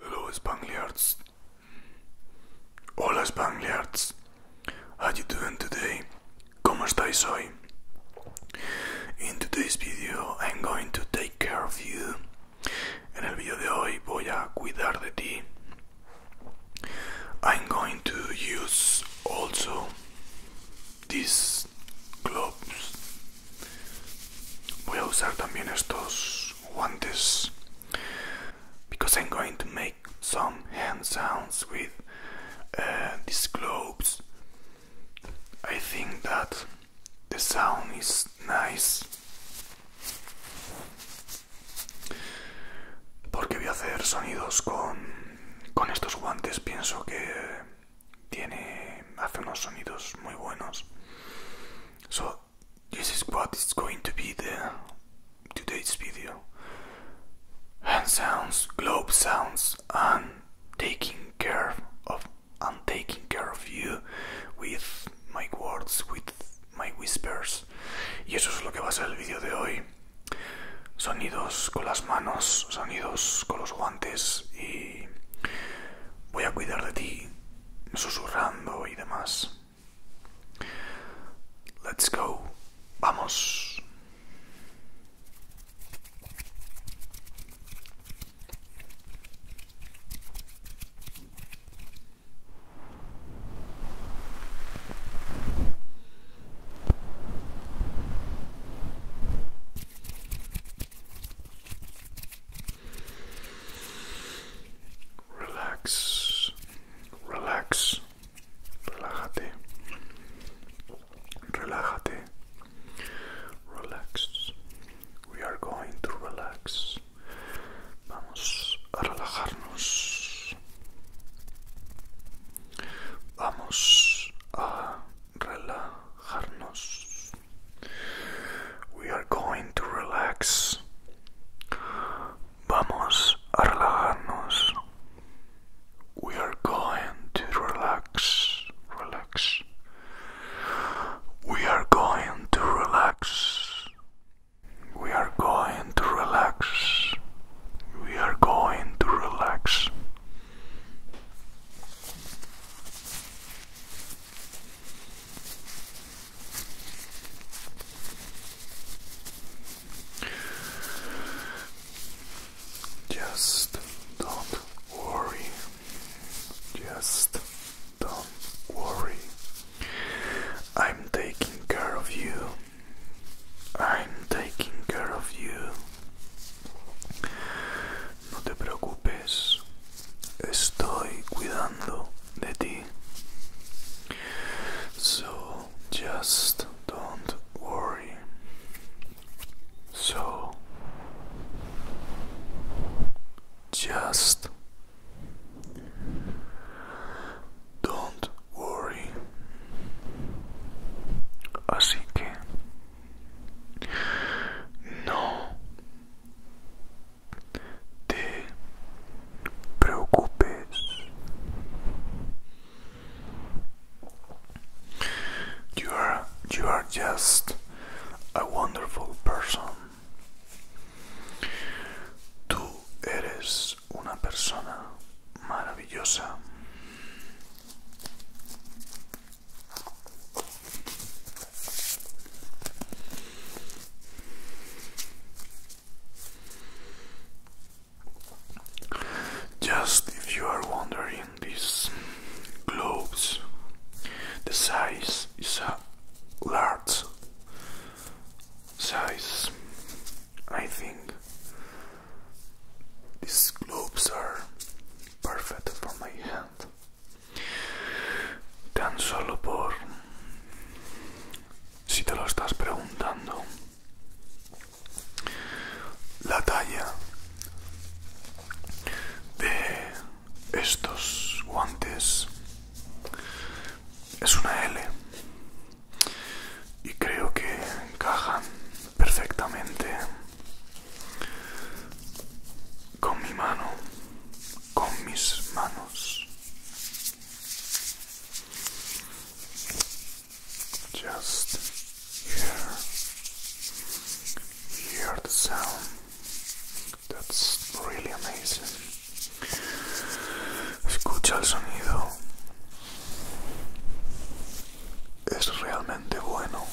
Hello Spangliards. Hola Spangliards. How you doing today? ¿Cómo estáis hoy? In today's video I'm going to take care of you. En el video de hoy voy a cuidar de ti. I'm going to use also these gloves. Voy a usar también estos guantes because I'm going to make some hand sounds with uh, these globes. I think that the sound is nice Porque voy a hacer sonidos con, con estos guantes. Pienso que tiene hace unos sonidos muy buenos. So this is what is going to be the today's video. Hand sounds, globe sounds, and taking care of and taking care of you with my words with My Whispers. Y eso es lo que va a ser el vídeo de hoy. Sonidos con las manos, sonidos con los guantes y voy a cuidar de ti, susurrando y demás. Let's go. Vamos. Relax, relax, relájate, relájate, relax. We are going to relax. Vamos a relajarnos. Vamos a relajarnos. We are going to relax. Vamos a relajarnos. We are going to relax. Relax. We are going to relax. We are going to relax. We are going to relax. Just don't worry. Just don't worry. I'm taking care of you. I'm taking care of you. No te preocupes. Estoy cuidando de ti. So just don't worry. So just don't worry. Así que no te preocupes. You are you are just a wonderful person. Tú eres just if you are wondering, these globes, the size is a large size. I think these gloves are perfect for my hand. Tan solo por si te lo estás preguntando. La talla de estos guantes es una L y creo que encajan perfectamente con mi mano, con mis manos. Just hear, hear the sound. That's really amazing. Escucha el sonido. Es realmente bueno.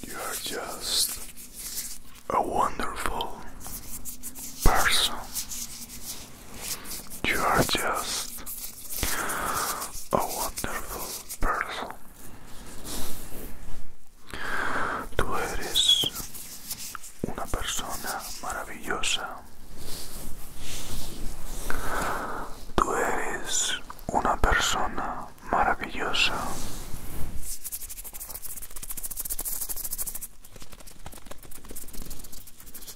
You are just a wonderful person. Tú eres una persona maravillosa. Tú eres una persona maravillosa.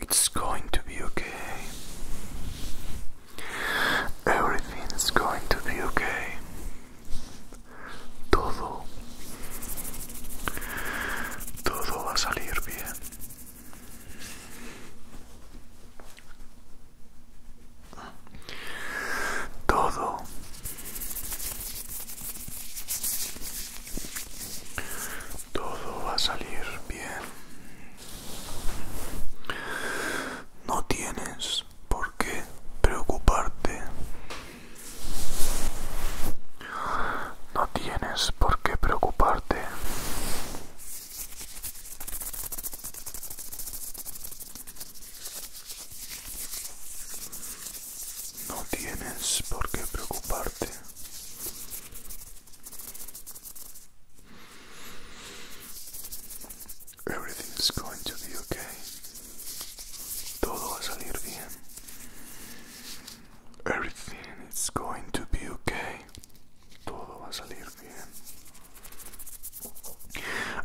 It's going to be okay. Everything is going to be okay. Todo. Todo va a salir bien. Todo Todo va a salir bien. No tienes por qué preocuparte. No tienes por qué preocuparte. No tienes por qué preocuparte. Everything is going to be okay. Todo va a salir bien. Everything is going to be okay. Todo va a salir bien.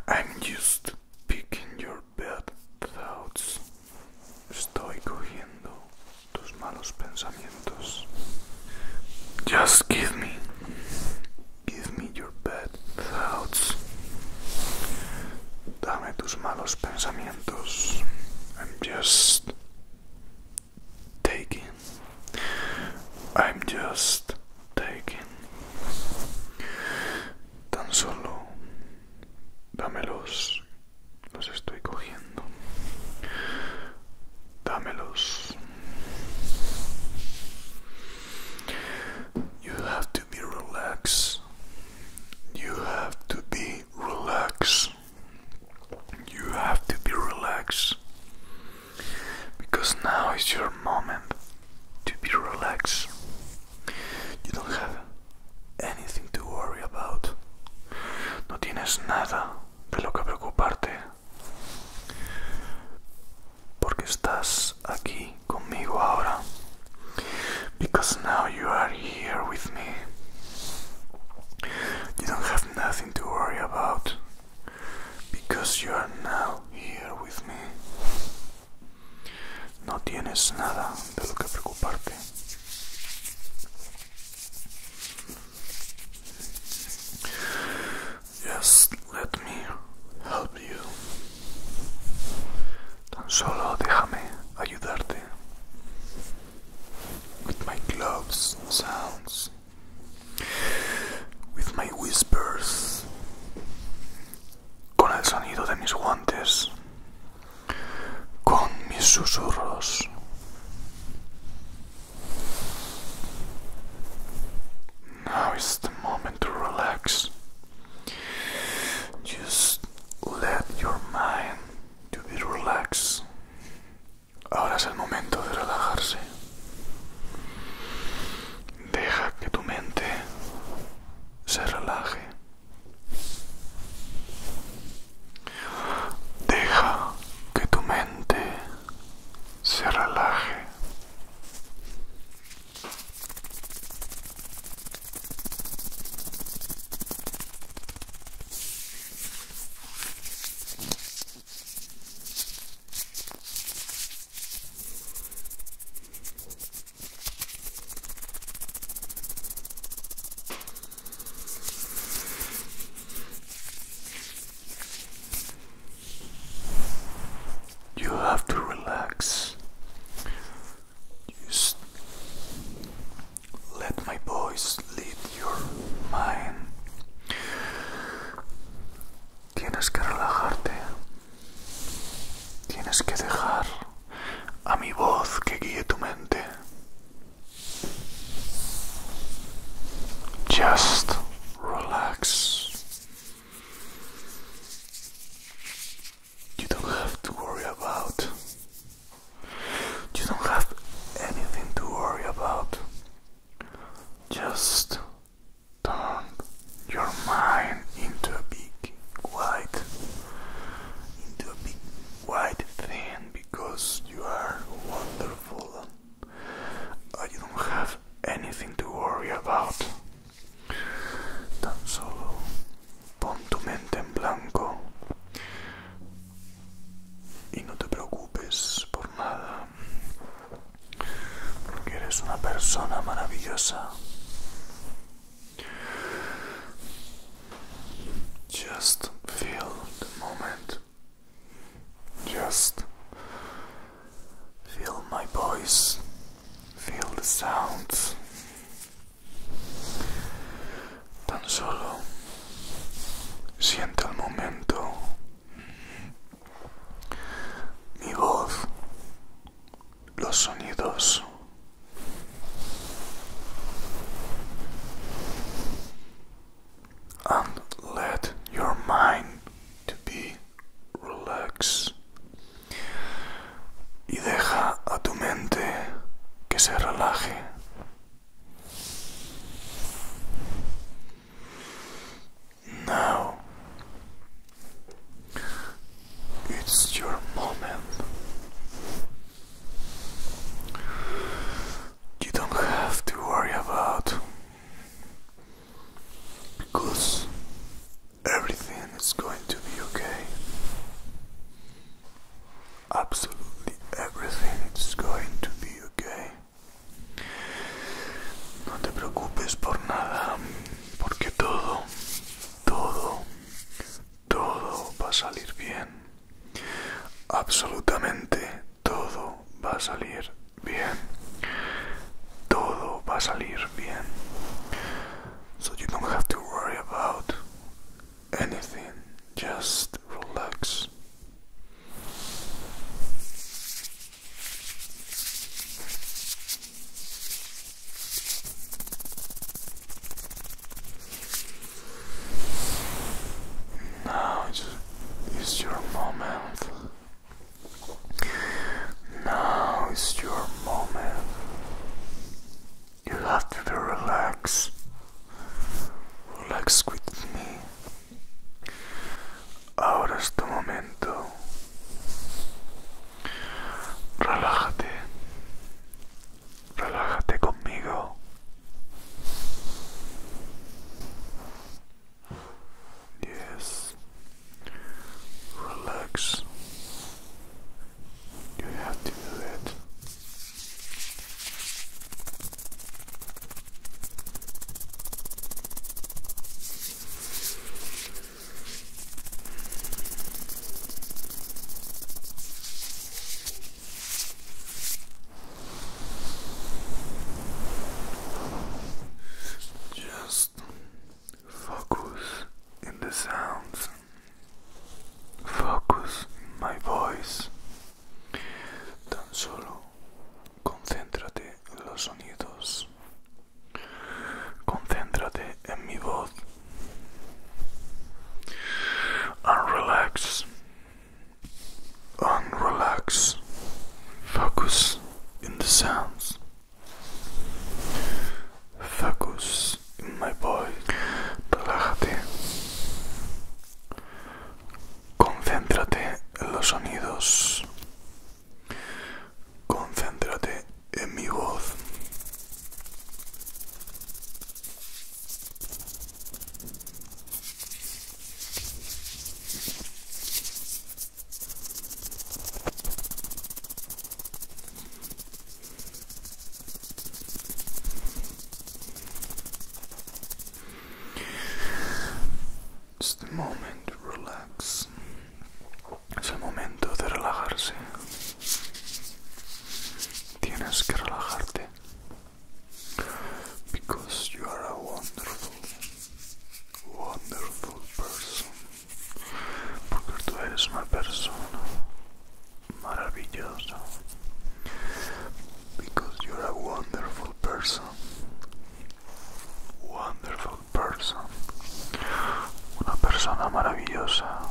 I'm just picking your bad thoughts. Estoy cogiendo tus malos pensamientos. Just give me. Give me your bad thoughts. Dame tus malos pensamientos. I'm just taking. I'm just taking. Tan solo dámelos Los estoy cogiendo. Dámelos. You have to be relaxed. You have to be relaxed. You have to be relaxed. Because now is your moment to be relaxed. You don't have anything to worry about. No tienes nada de lo que preocuparte. Porque estás aquí conmigo ahora. Because now you are here with me. You don't have nothing to worry about. Because you are now here with me. No tienes nada de lo que preocuparte. Just let me help you. Tan solo déjame ayudarte. With my gloves sounds, with my whispers, con el sonido de mis guantes, con mis susurros. Now is the moment to relax. Just let your mind to be relaxed. Ahora es el momento de relajarse. Deja que tu mente se relaje. Deja que tu mente se relaje have to relax. let my voice your mind. Tienes que relajarte. Tienes que dejar a mi voz que guíe tu mente. Just relax. You don't have to worry about. You don't have anything to worry about. Just turn your mind into a big white, into a big white thin, because you are wonderful. Uh, you don't have anything to worry about. Tan solo pon tu mente en blanco y no te preocupes por nada. Porque eres una persona maravillosa. Just feel the moment. Just feel my voice, feel the sounds. Tan solo siente el momento. Mi voz, los sonidos. and let your mind to be relaxed y deja a tu mente que se relaje now it's your moment you don't have to worry about because everything is going to be okay. Absolutely everything is going to be okay. No te preocupes por nada, porque todo, todo, todo va a salir bien. Absolutamente todo va a salir bien. Todo va a salir bien. So you don't have to worry about anything. Just relax. Now is your moment. Now is your moment. You have to be relaxed. Relax with me. Ahora es tu momento. Relájate. Relájate conmigo. Yes, relax. You have to do it. Just focus in the sounds, focus in my voice. Tan solo concéntrate en los sonidos, concéntrate en mi voz, and relax. and relax. Focus in the sounds. Focus in my voice Relájate. Concéntrate en los sonidos. Concéntrate en mi voz. Es el momento de momento de relajarse. Tienes que relajarte. because you are a wonderful, wonderful person. Porque tú eres una persona maravillosa. Because you're a wonderful person. Wonderful person. Una persona maravillosa.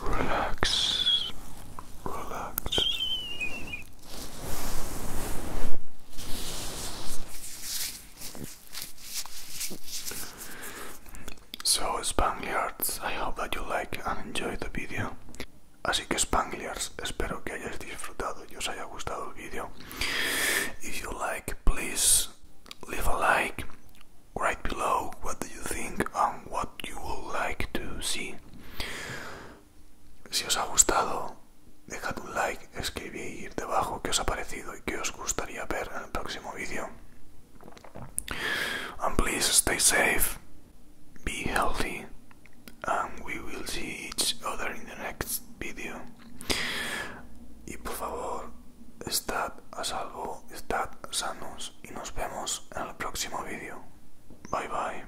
Relax, relax. So Spaniards, I hope that you like and enjoy the video. Así que Spangliars, espero que hayáis disfrutado y os haya gustado el vídeo. If you like, please leave a like. Right below what do you think what you would like to see. Si os ha gustado, dejad un like, escribid debajo qué os ha parecido y qué os gustaría ver en el próximo vídeo. And please stay safe. be healthy and we will see each other in the next video y por favor estad a salvo estad sanos y nos vemos en el próximo vídeo bye bye